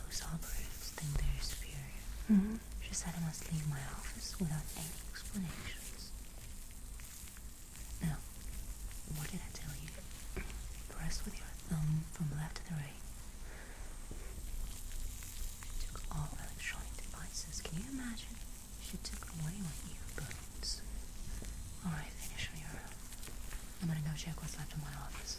Those operatives think they're superior. Mm-hmm. She said I must leave my office without any explanations. Now, what did I tell you? Press with your thumb from left to the right. You took all electronic devices. Can you imagine? She took away my earbuds. Alright, finish on your own. I'm gonna go check what's left in my office.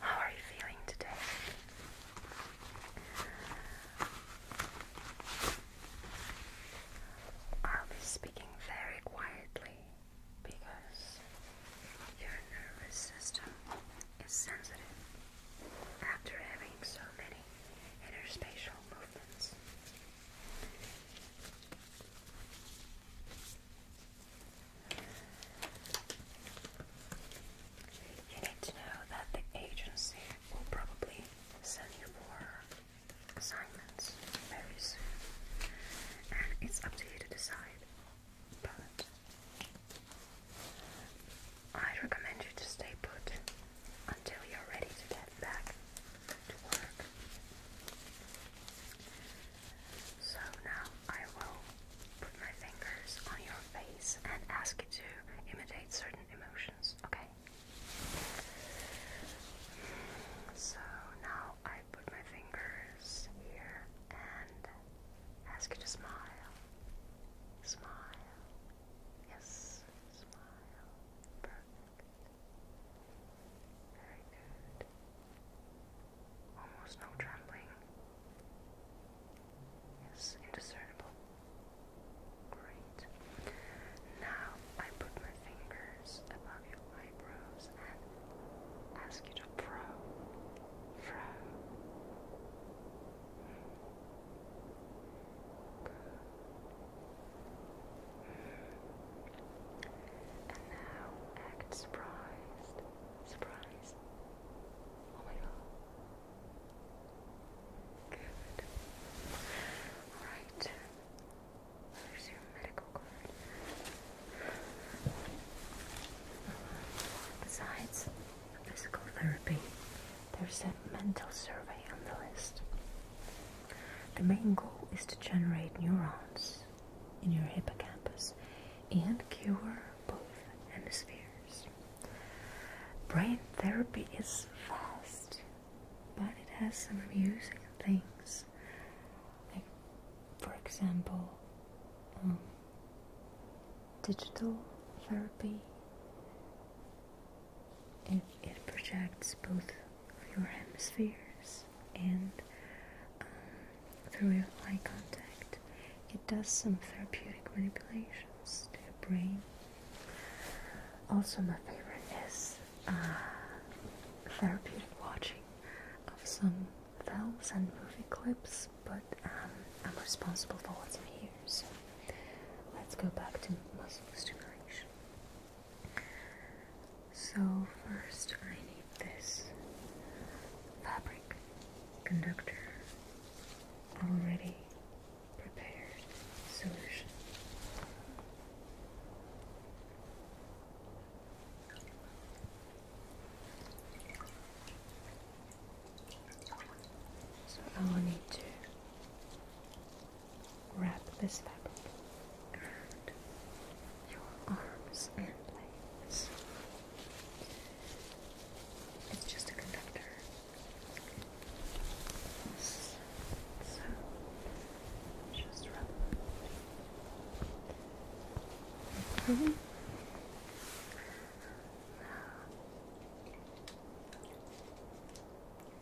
How are you feeling today? I'll be speaking very quietly because your nervous system is sensitive after having so many interspacial movements. You need to know that the agency will probably send you for assignments very soon, and it's up to you to decide. But I recommend you to stay put until you're ready to get back to work. So now I will put my fingers on your face and ask you to imitate certain emotions, okay? So now I put my fingers here and ask you to smile. Smile. Yes, smile. Perfect. Very good. Almost no trembling. Yes, indiscernible. Great. Now I put my fingers above your eyebrows and ask you to probe, probe. And now act surprised. Surprise. Oh my god. Good. Alright. There's your medical card. Besides physical therapy, there's a mental survey on the list. The main goal is to generate neurons in your hippocampus and cure both hemispheres. Brain therapy is fast, but it has some amusing things. Like, for example, um, digital therapy it, it projects both of your hemispheres and um, through your eye contact. It does some therapeutic manipulations to your brain. Also, my favorite is uh, therapeutic watching of some films and movie clips, but um, I'm responsible for what's in here, so let's go back to muscle stimulation. So, first I need this fabric conductor already prepared solution. So I need to wrap this fabric around your arms and legs. It's just a conductor. So, just wrap it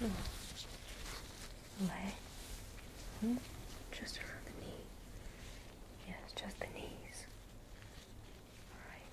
Little leg, hmm? just around the knee. Yes, just the knees. All right,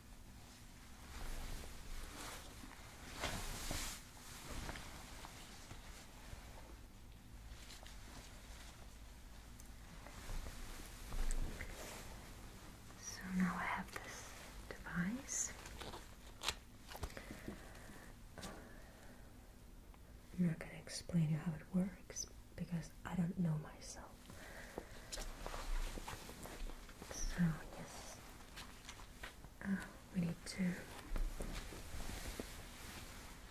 So now I have this device. I'm not going to explain you how it works because I don't know myself. So yes, ah, we need to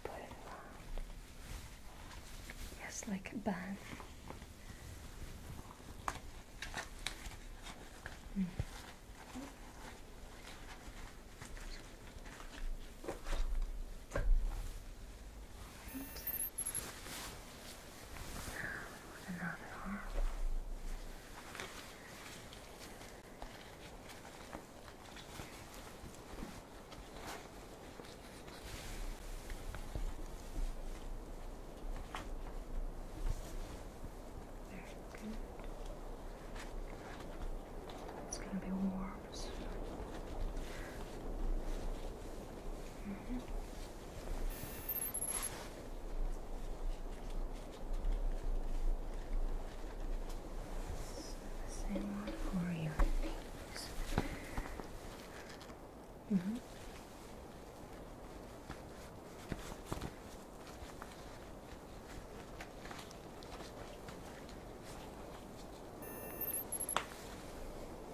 put it around. Yes, like a band. Hmm another arm. Very good. It's going to be warm. -hmm. Same one for your knees. -hmm.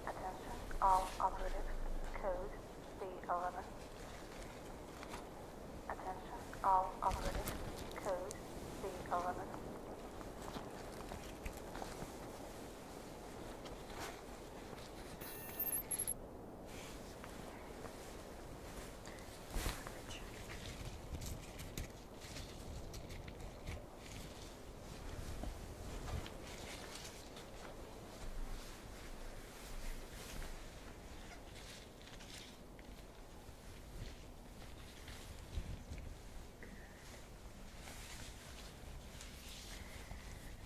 Attention, all operatives. Code C11. Attention, all operatives. Code C11. Attention,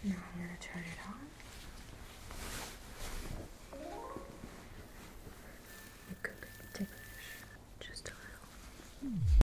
now I'm going to turn it on. It could be just a little.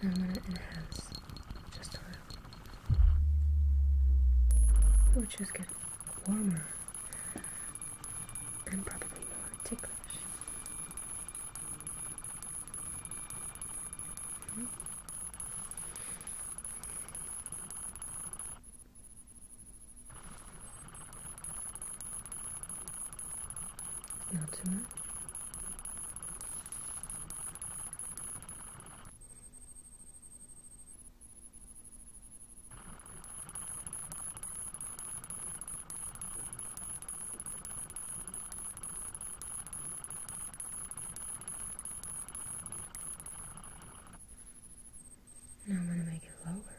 I'm gonna enhance just a little. It would just get warmer and probably more ticklish. Mm -hmm. Not too much. Now I'm going to make it lower.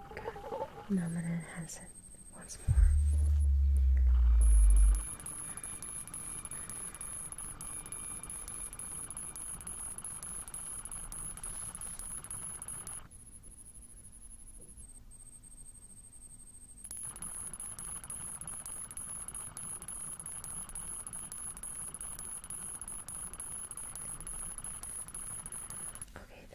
Now I'm gonna enhance it once more. Okay,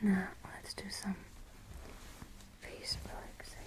Now let's do some face relaxation.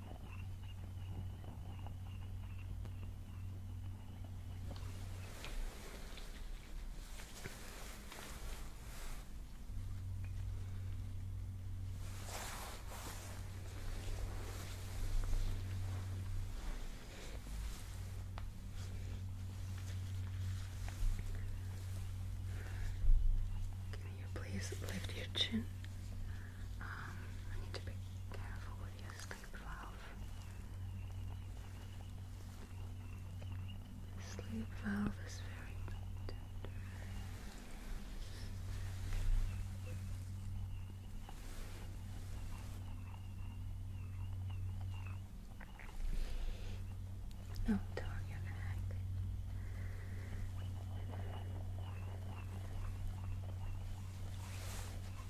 Can you please lift your chin? Um, I need to be careful with your Sleep valve. The sleep valve is very tender. No, down your neck.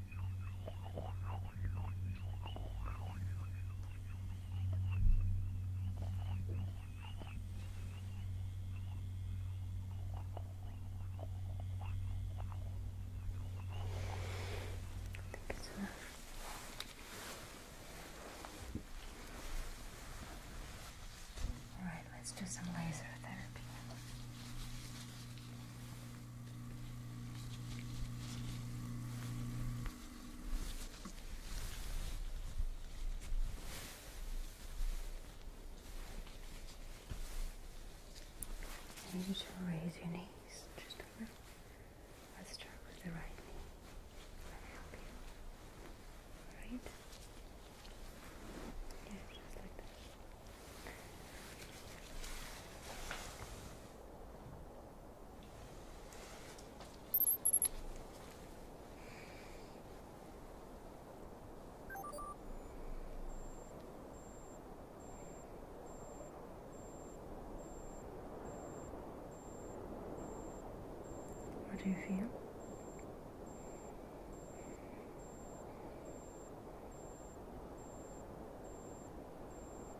it's enough. All right, let's do some laser therapy. I you should raise your knees just a little. Let's start with the right knee. Let me help you. Right? Yeah, just like that. What do you feel?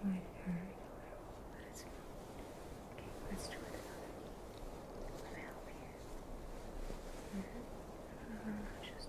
You might have heard a little, but it's Okay, let's do another knee. Let me help you. Mm -hmm. no, uh, no, no, just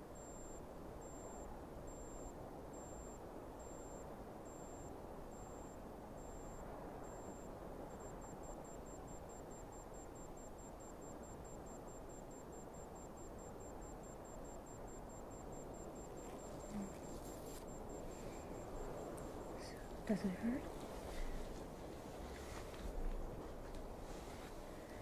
Does it hurt?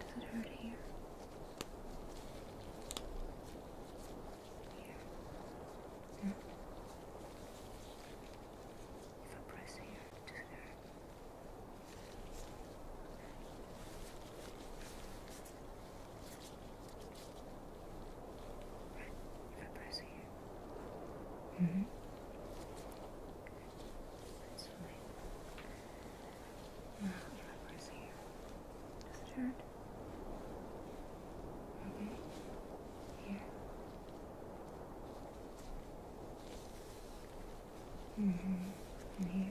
Does it hurt here? Here. Hmm. If I press here, does it hurt? Right. If I press here. Mm-hmm. That's fine. Now, here. Does it hurt? Okay. Here. hmm here.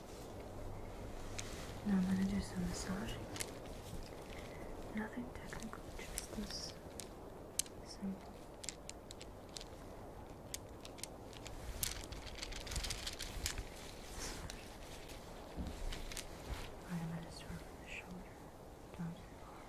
Now I'm gonna do some massaging. Nothing technical, just this simple. I'm gonna start from the shoulder down to the arm.